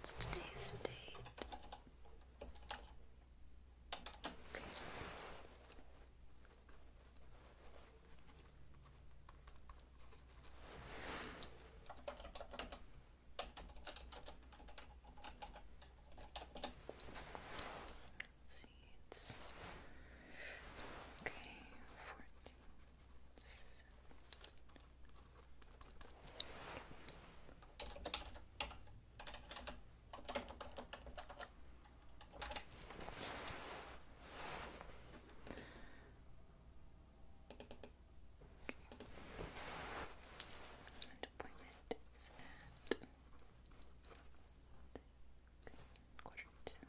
What's today's date? Okay. Let's see, it's okay, 14. Okay. And appointment is at quarter to one thirty. Okay.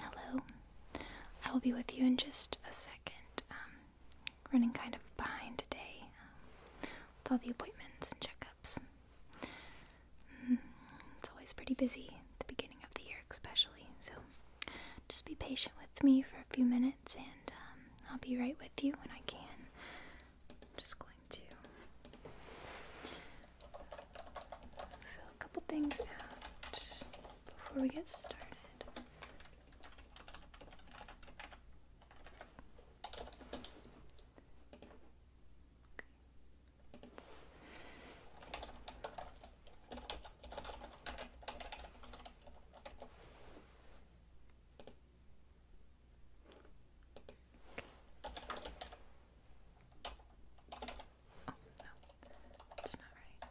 Hello. I will be with you in just a second. Um, running kind of behind today um, with all the appointments and checkups. Mm, it's always pretty busy at the beginning of the year, especially. So just be patient with me for a few minutes, and um, I'll be right with you when I can. I'm just going to fill a couple things out before we get started. Oh no, that's not right.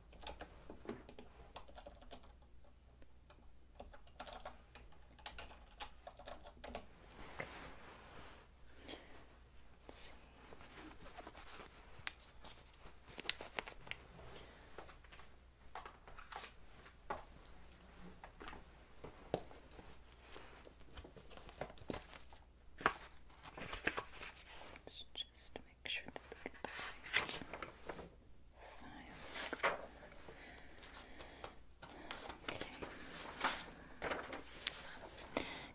Let's just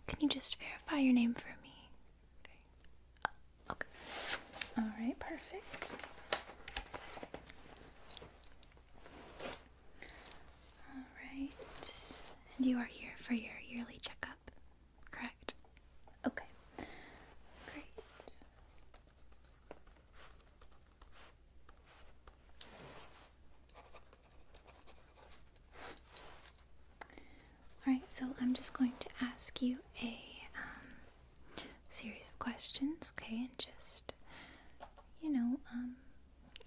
can you just verify your name for me? Oh, okay. All right. Perfect. All right. And you are here for your yearly checkup. Correct. Okay. Great. Alright, so I'm just going to ask you a um, series of questions, okay? And just, you know, um,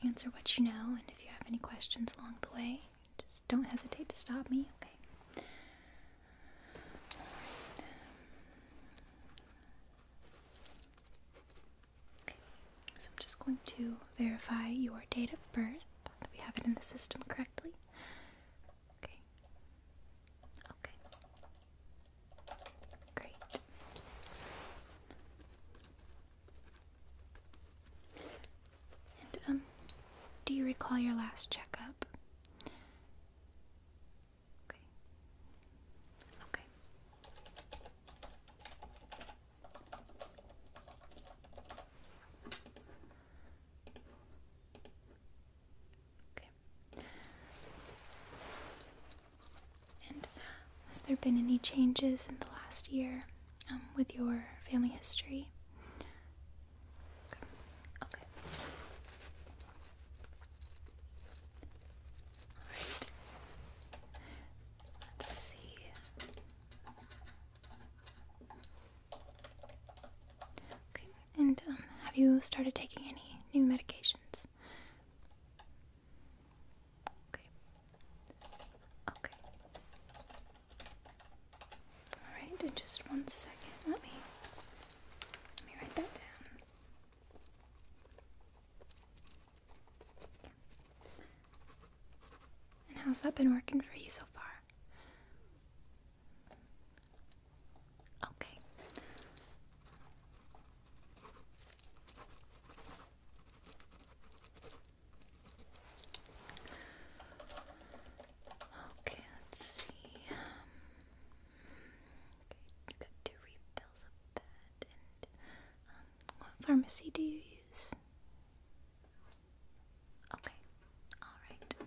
answer what you know, and if you have any questions along the way, just don't hesitate to stop me, okay? Okay, so I'm just going to verify your date of birth, that we have it in the system correctly. Okay. Okay. Great. Um, do you recall your last checkup? Okay. Okay. Okay. And has there been any changes in the last year um, with your family history? Okay. Alright. Let's see. Okay, and um, have you started taking any new medications? Okay. Okay. Alright, in just one second. Let me let me write that down. And how's that been working for you so far? Okay. Okay, let's see. Um, okay, you got two refills of that. Um, what pharmacy do you use? Okay, all right.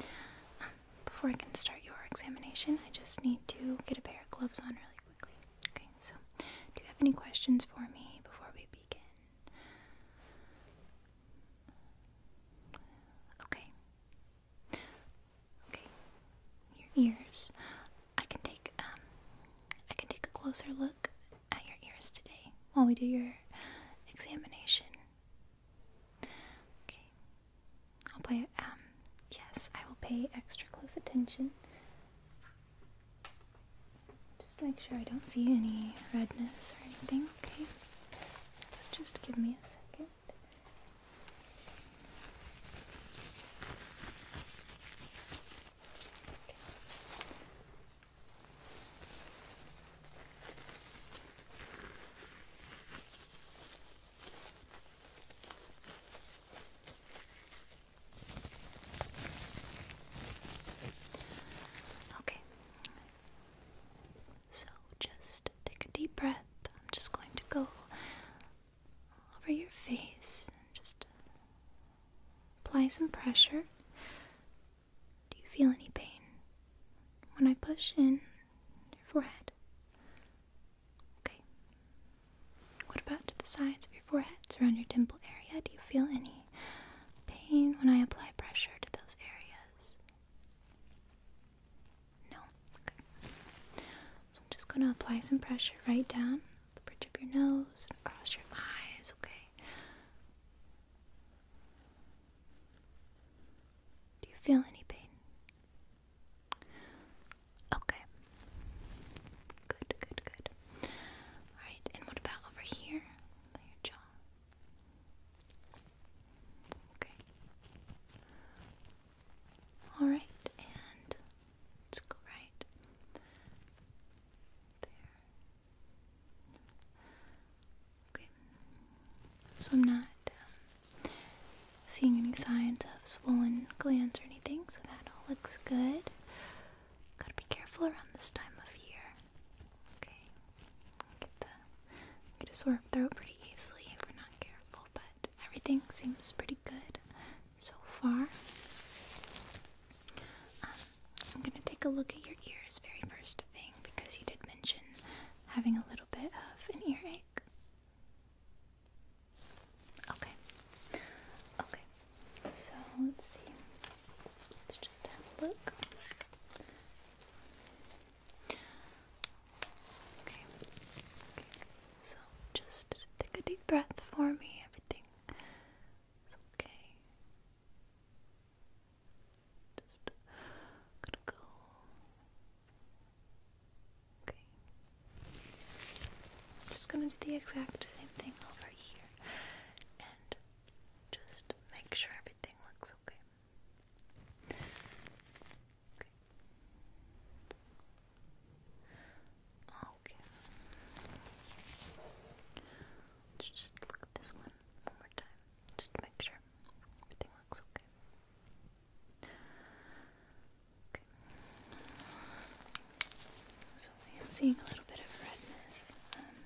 Um, before I can start your examination, I just need to get a pair of gloves on really quickly. Okay, so do you have any questions for me before we begin? Okay. Okay. Your ears. I can take um I can take a closer look at your ears today while we do your examination. Okay. I'll play. it. Um. Yes, I will pay extra close attention. Just make sure I don't see any redness or anything. Okay. So just give me a second. Okay. So just take a deep breath. I'm just going to go over your face and just apply some pressure. Do you feel any pain when I push in your forehead? Okay. What about to the sides of your forehead, around your temple area? Do you feel any pain when I apply pressure to those areas? No. Okay. I'm just going to apply some pressure right down the bridge of your nose and across your eyes, okay? Do you feel any pain? Okay. Good, good, good. Alright, and what about over here? your jaw. Okay. Alright, and let's go right there. Okay. So I'm not um, seeing any signs of swollen glands or anything, so that all looks good. Gotta be careful around this time of year. Okay. Get the get a sore throat pretty easily if we're not careful, but everything seems pretty good so far. Um, I'm gonna take a look at your ears very first thing because you did mention having a little bit of an earache? Okay. Okay. So let's just have a look. Okay. Okay. So just take a deep breath for me. Everything is okay. Just gonna go. Okay. Just gonna do the exact same thing over here and just make sure everything looks okay. Okay. Let's just look at this one one more time, just to make sure everything looks okay. Okay. So I am seeing a little bit of redness. Um,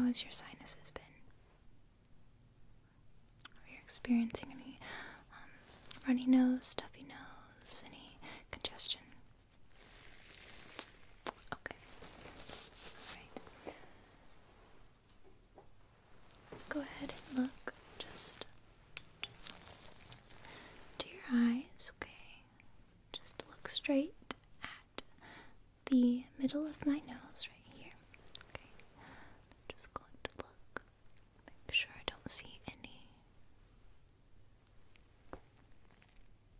how has your sinuses been? Are you experiencing any um, runny nose, stuffy nose, any congestion? Okay. Alright. Go ahead and look just to your eyes, okay? Just look straight at the middle of my nose right here. Okay. just going to look. Make sure I don't see any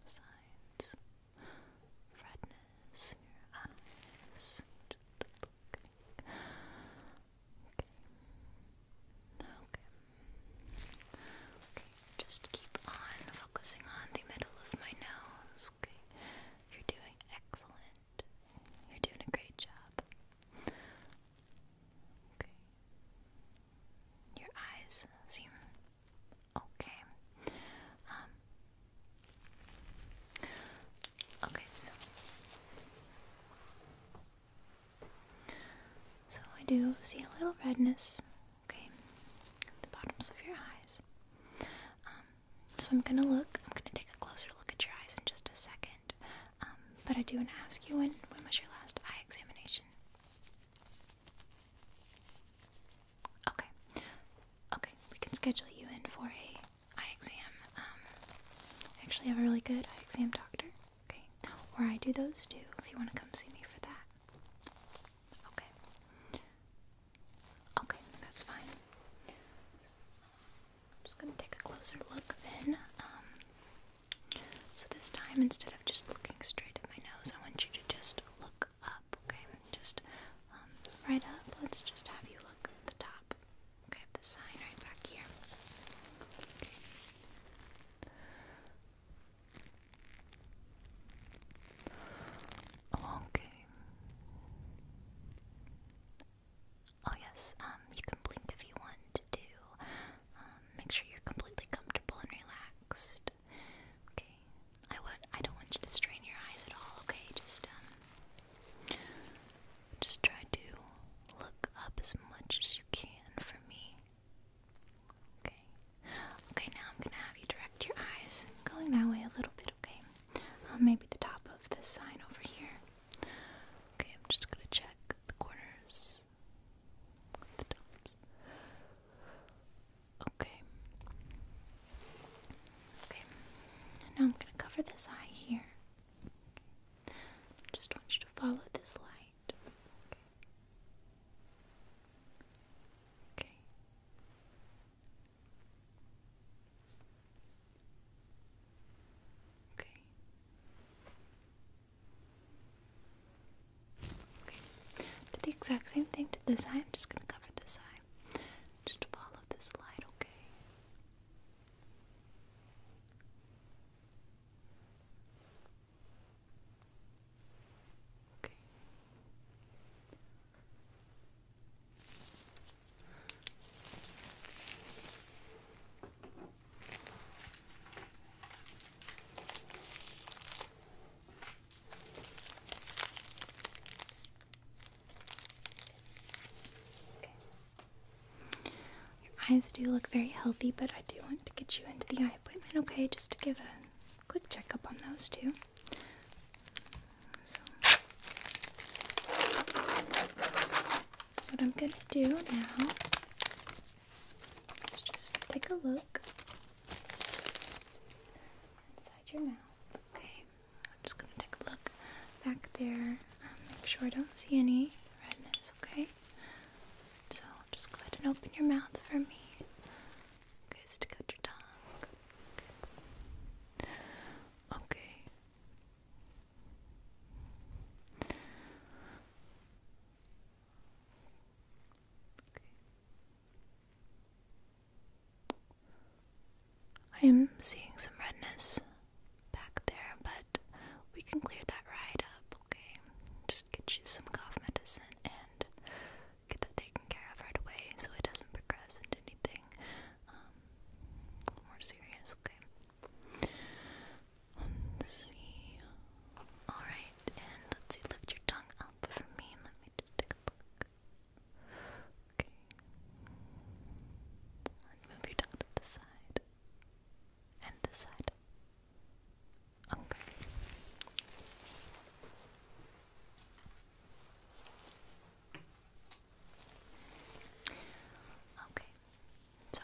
signs, redness in your eyes. Just keep on focusing on the middle of my nose. You're doing excellent. You're doing a great job. Your eyes seem Okay. Um, okay. So. So I do see a little redness. Okay. the bottoms of your eyes. Um, so I'm gonna look. I'm gonna take a closer look at your eyes in just a second. Um, but I do want to ask you when. When was your last eye examination? Okay. Okay, we can schedule you in for a eye exam. Um, I actually have a really good eye exam doctor. Okay. Or I do those too if you want to come see me for that. Okay. Okay, that's fine. I'm just gonna take a closer look then. Um, so this time, instead of just looking straight at my nose, I want you to just look up, okay? Just um, right up. Let's just have you look at the top, okay? the sign right back here. Okay. Oh yes, um, you can blink if you want to do um, make sure you're completely comfortable and relaxed. Okay. I want I don't want you to strain your eyes at all. Okay. Just um. Just try to look up as much as you can for me. Okay. Okay. Now I'm gonna have you direct your eyes going that way a little bit. Okay. Um, maybe the top of this sign over here. Okay. I'm just gonna check the corners Okay. Okay. Now I'm gonna cover this eye here. I just want you to follow this light. okay. Okay. Okay. Do the exact same thing to this eye. I'm just gonna cover this eye. Just follow this light, okay? Okay. Your eyes do look very healthy, but I do want to get you into the eye appointment, okay? Just to give a quick checkup on those two. So, what I'm gonna do now Let's just take a look inside your mouth. Okay, I'm just gonna take a look back there. Um, make sure I don't see any redness. Okay, so just go ahead and open your mouth for me. Okay, so to cut your tongue. okay. I am seeing some redness back there, but we can clear that right up, okay? Just get you some cough medicine and get that taken care of right away so it doesn't progress into anything um, more serious, okay? Let's see. Alright, and let's see, lift your tongue up for me. Let me just take a look. Okay. move your tongue to the side. And the side. Okay. Okay. So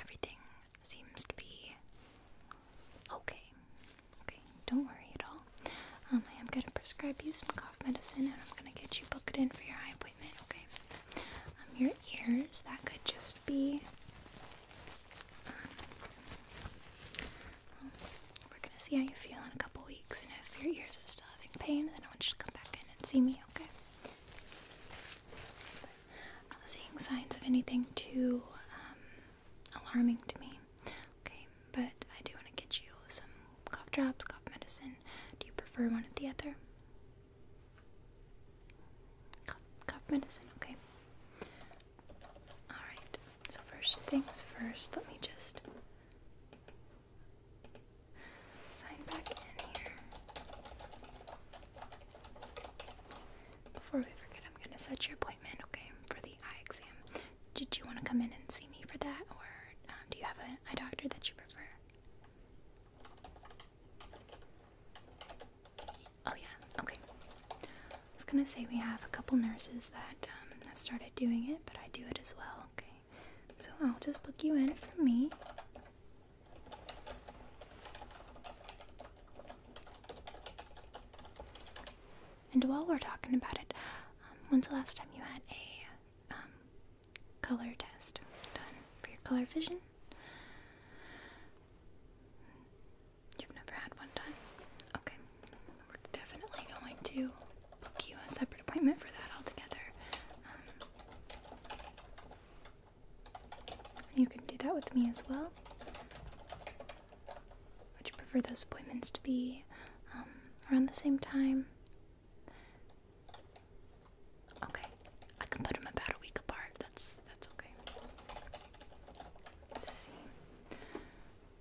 everything seems to be okay. Okay, don't worry at all. Um, I am gonna prescribe you some cough medicine, and I'm gonna get you booked in for your eye appointment. Okay. Um, your ears that could just be. Um, we're gonna see how you feel in a couple weeks, and if your ears are still having pain, then I want you to come back in and see me. Okay. I'm uh, not seeing signs of anything too um, alarming to me. Okay, but I do want to get you some cough drops, cough medicine. Do you prefer one or the other? Cough, cough medicine, okay. Alright, so first things first, let me just sign back in here. Before we forget, I'm gonna set your appointment, okay, for the eye exam. Did you want to come in and see me for that, or um, do you have an eye doctor that you prefer? Oh yeah, okay. I was gonna say we have a couple nurses that um, have started doing it, but I do it as well, okay. So I'll just book you in for me. And while we're talking about it, um, when's the last time you had a um, color test done for your color vision? You've never had one done? Okay. We're definitely going to book you a separate appointment for that altogether. Um, you can do that with me as well. Would you prefer those appointments to be um, around the same time? Okay, I can put them about a week apart. That's that's okay.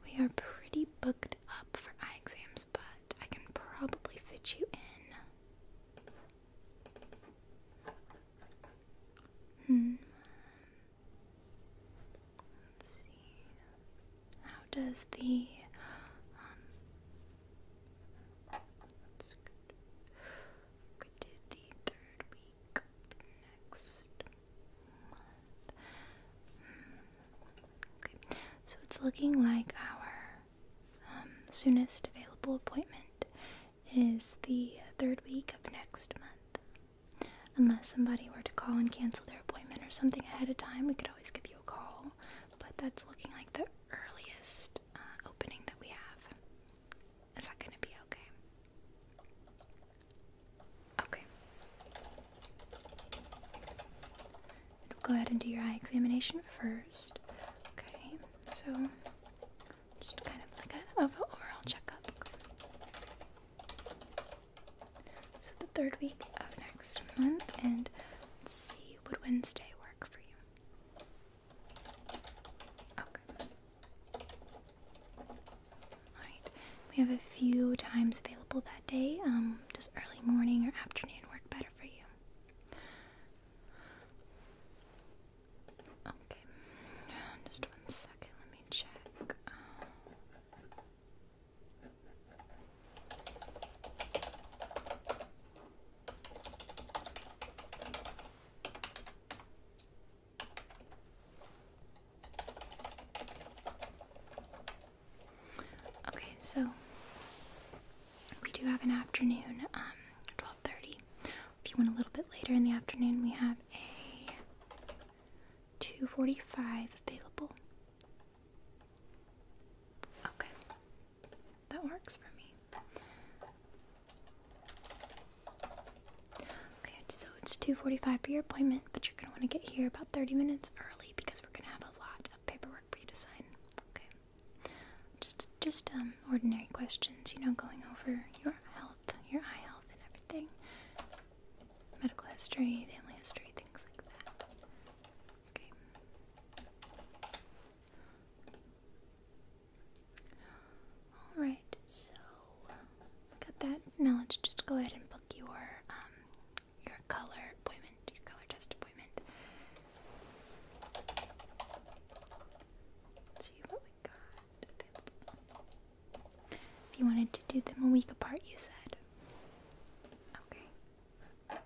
we are pretty booked up for eye exams, but I can probably fit you in Hmm. Let's see. How does the um let good. did the third week next Okay. So it's looking like our um, soonest available appointment is the third week of next month. Unless somebody were to call and cancel their appointment or something ahead of time, we could always give you a call. But that's looking like the earliest uh, opening that we have. Is that going to be okay? Okay. We'll go ahead and do your eye examination first. Okay. So, just kind of like a, overall checkup. So the third week of next month, and let's see, would Wednesday work for you? Okay. Alright, we have a few times available that day. Um, does early morning or afternoon work better for you? Okay, just one second, let me check. Uh, okay, so we do have an afternoon, um, 12.30. If you want a little bit later in the afternoon, we have a 2.45 available. Okay. That works for me. Okay, so it's 2.45 for your appointment, but you're going to want to get here about 30 minutes early because we're going to have a lot of paperwork for you to sign. Okay. Just, just um, ordinary questions. You know, going over your health, your eye health, and everything. Medical history, family history, things like that. Okay. All right. So got that. Now let's just go ahead and book your um, your color appointment, your color test appointment. If you wanted to do them a week apart, you said. Okay.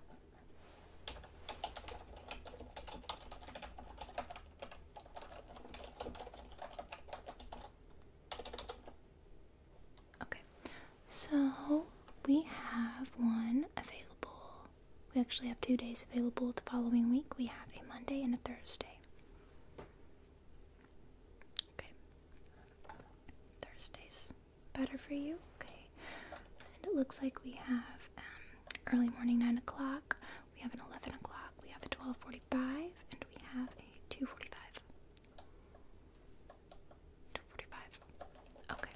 Okay, so we have one available we actually have two days available the following week. We have a Monday and a Thursday. Okay. Thursday's better for you. Okay. And it looks like we have um, early morning 9 o'clock, we have an 11 o'clock, we have a 12.45, and we have a 2.45. 2.45. Okay.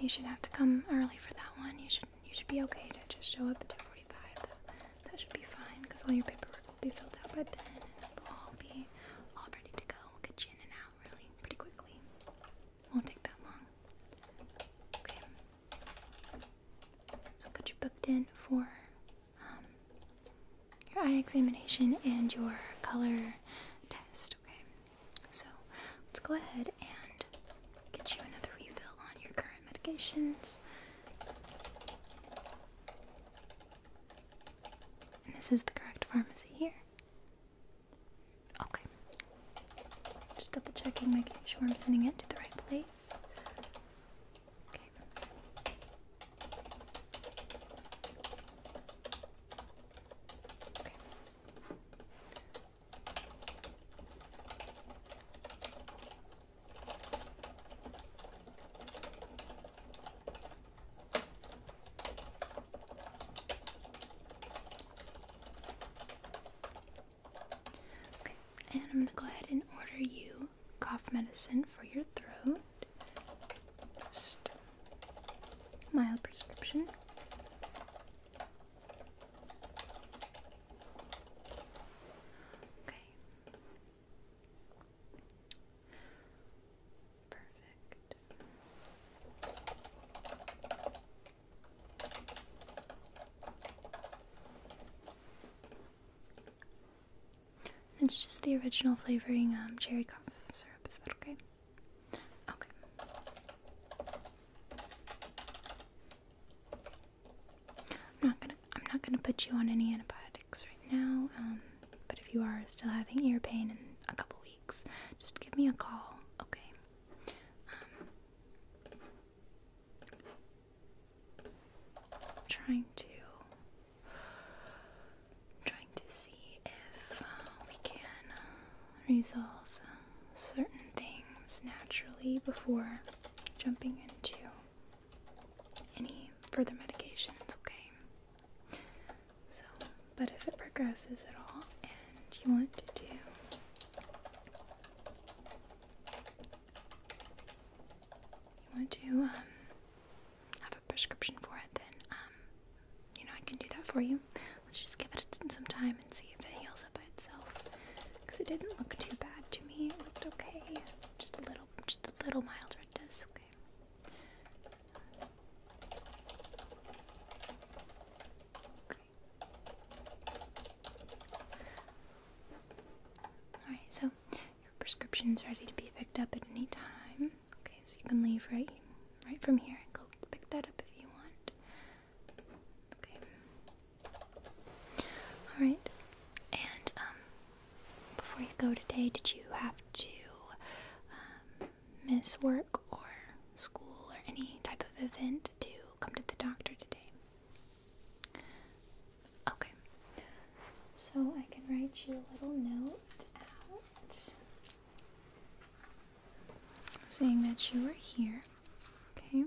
You should have to come early for that one. You should you should be okay to just show up at 2:45. That, should be fine because all your paperwork will be filled out by then. And we'll all be all ready to go. We'll get you in and out really pretty quickly. Won't take that long. Okay. So got you booked in for um, your eye examination and your color test. Okay, so let's go ahead and get you another refill on your current medications. And this is the correct pharmacy here. Okay. Just double checking, making sure I'm sending it to the right place. Okay. Okay. and I'm going to go ahead and order you cough medicine for your throat. mild prescription. Okay. Perfect. It's just the original flavoring um, cherry cough syrup. Is that okay? Okay. I'm not gonna. I'm not gonna put you on any antibiotics right now. Um, but if you are still having ear pain in a couple weeks, just give me a call. Okay. Um, trying to trying to see if uh, we can resolve certain things naturally before jumping into any further medications, okay? So, but if it progresses at all and you want to do you want to um, have a prescription for it, then um, you know I can do that for you. Let's just give it some time and see if it heals up by itself. Because it didn't look too bad to me. It looked okay. Just a little, just a little mild at this. Okay. Alright, so your prescription's ready to be picked up at any time. Okay, so you can leave right, right from here and go pick that up if you want. Okay. All right. And um, before you go today, did you have to um, miss work or school or any type of event to come to the doctor today? Okay. So I can write you a little note out saying that you are here. Okay.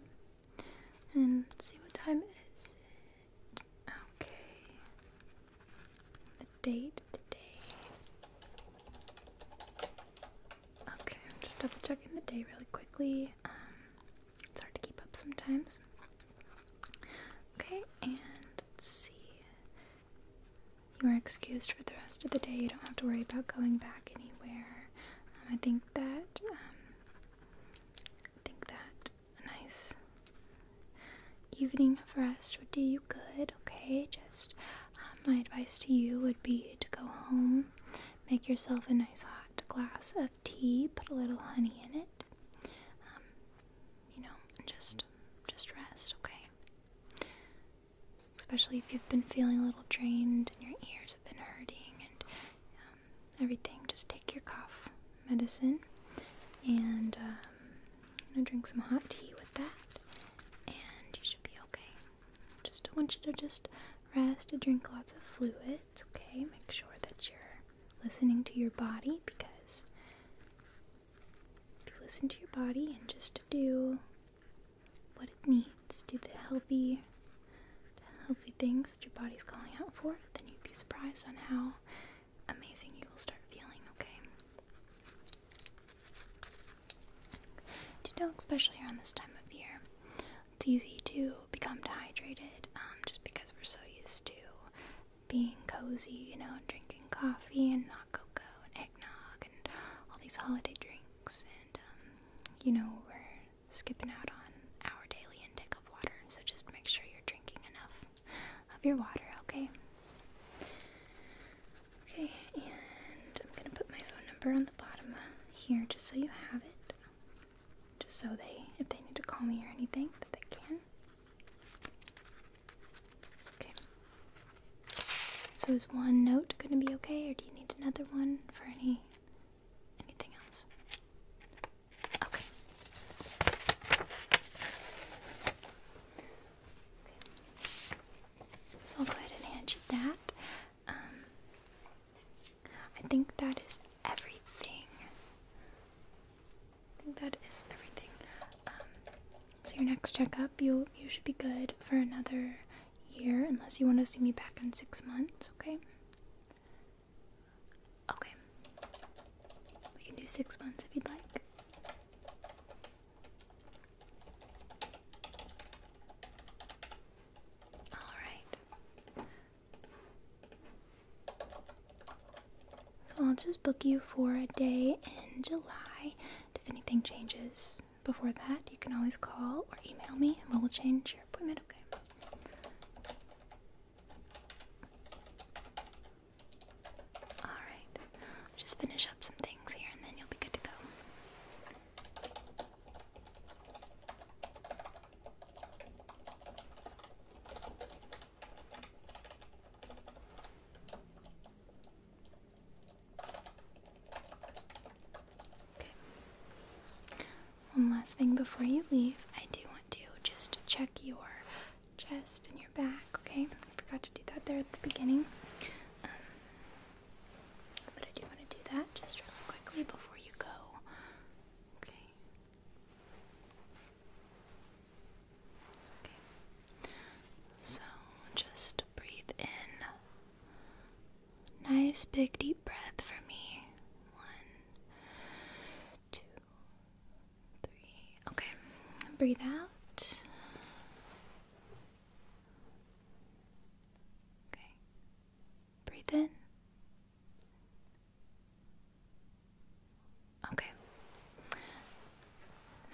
And see what time is it. Okay. The date today. Okay, just double checking the day really quickly. Um, it's hard to keep up sometimes. Okay, and let's see. You are excused for the rest of the day. You don't have to worry about going back anywhere. Um, I think that um, think that a nice evening of rest would do you good. Okay, just um, my advice to you would be to go home, make yourself a nice hot glass of tea, put a little honey in it. Um, you know, just just rest, okay? Especially if you've been feeling a little drained and your ears have been hurting and um, everything. Just take your cough medicine and um, drink some hot tea with that, and you should be okay. Just want you to just rest and drink lots of fluid. It's okay. Make sure that you're listening to your body because if you listen to your body and just do what it needs, do the healthy healthy things that your body's calling out for, then you'd be surprised on how amazing you will start feeling, okay? Do you know, especially around this time of year, it's easy to become dehydrated um, just because we're so used to being cozy, you know, drinking coffee and not cocoa and eggnog and all these holiday drinks. And, um, you know, we're skipping out on our daily intake of water, so just make sure you're drinking enough of your water, okay? Okay, and I'm gonna put my phone number on the bottom here just so you have it just so they, if they need to call me or anything, that they can. Okay. So is one note going to be okay, or do you need another one for any anything else? Okay. So I'll go ahead and hand you that. Um, I think that is everything. I think that is everything. Um, so your next checkup, you you should be good for another year, unless you want to see me back in six months. Okay. Okay. We can do six months if you'd like. All right. So I'll just book you for a day in July. If anything changes before that, you can always call or email me and we will change your appointment, okay? Alright, just finish up some things here and then you'll be good to go. One last thing before you leave, I do want to just check your chest and your back, okay? I forgot to do that there at the beginning. Um, but I do want to do that just really quickly before you go. Okay. So just breathe in. Nice big deep breath for me. One, two, three. Okay. Breathe out. Okay. Breathe in. Okay.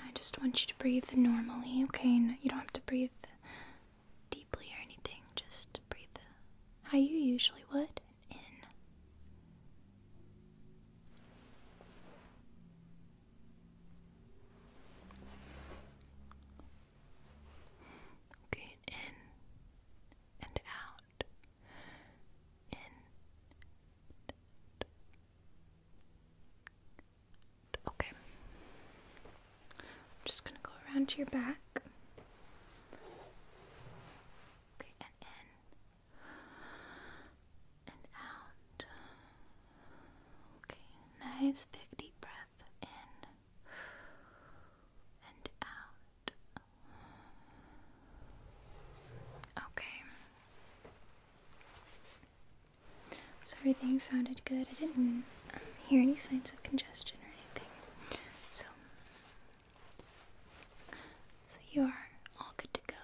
I just want you to breathe normally, okay? you don't have to breathe deeply or anything. Just breathe how you usually would in. Okay, in and out okay I'm just gonna go around to your back okay and in and out okay nice big deep breath in and out Okay. So everything sounded good. I didn't um, hear any signs of congestion or anything. So, so you are all good to go.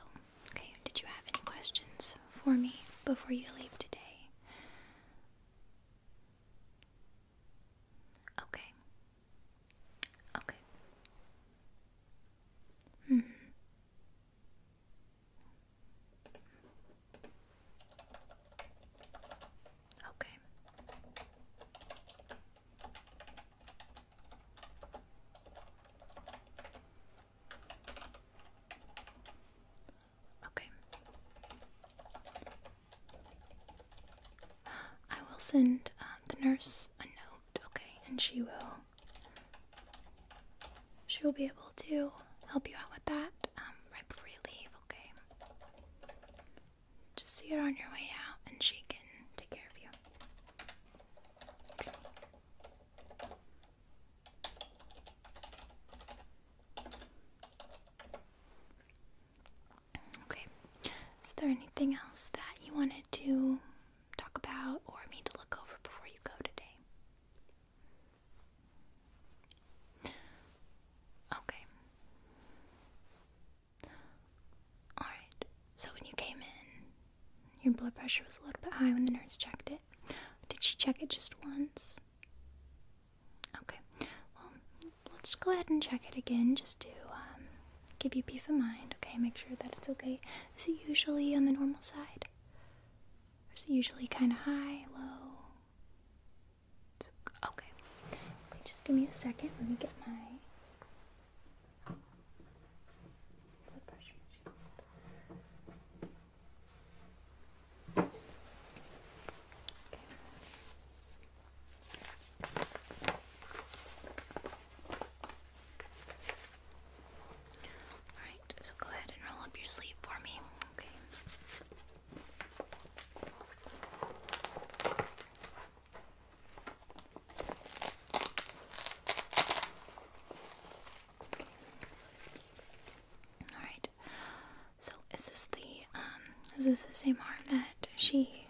Okay. Did you have any questions for me before you leave today? Okay. Okay. -hmm. Okay. Okay. I will send um, the nurse a note, okay, and she will she will be able to help you out with that um, right before you leave, okay? Just see her on your way out, and she can take care of you. Okay. Is there anything else that you wanted to talk about or need to look over before you go today? Okay. Alright, so when you came in, your blood pressure was a little bit high when the nurse checked it. Did she check it just once? Okay, well, let's go ahead and check it again just to um, give you peace of mind, okay? Make sure that it's okay. Is it usually on the normal side? is it usually kind of high, low? okay. Just give me a second. Let me get my. Blood pressure machine. Alright, so go ahead and roll up your sleeve for me. Okay. All right. So is this the um? Is this the same arm that she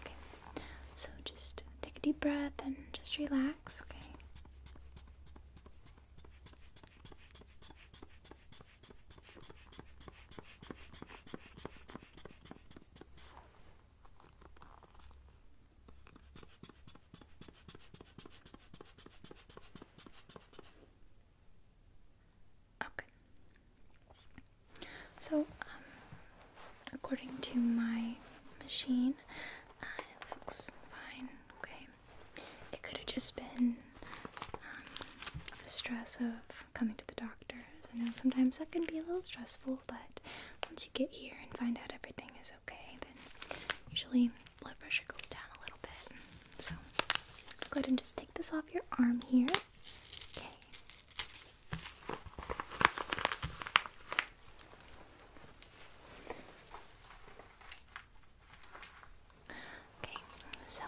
Okay, so just take a deep breath and just relax, okay? Okay. So, um, according to my machine, uh, it looks fine. Okay. It could have just been um, the stress of coming to the doctor's. I know sometimes that can be a little stressful, but once you get here and find out everything is okay, then usually blood pressure goes down a little bit. So go ahead and just take this off your arm here. Okay. Okay, so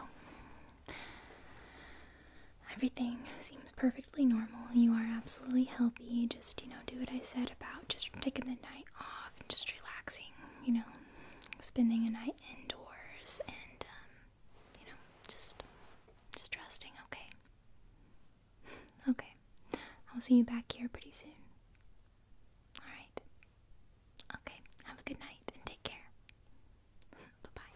everything seems perfectly normal. You are absolutely healthy. Just, you know, do what I said about just taking the night off and just relaxing, you know, spending a night indoors and um, you know just just resting. Okay. Okay. I'll see you back here pretty soon. All right. Okay. Have a good night and take care. bye bye.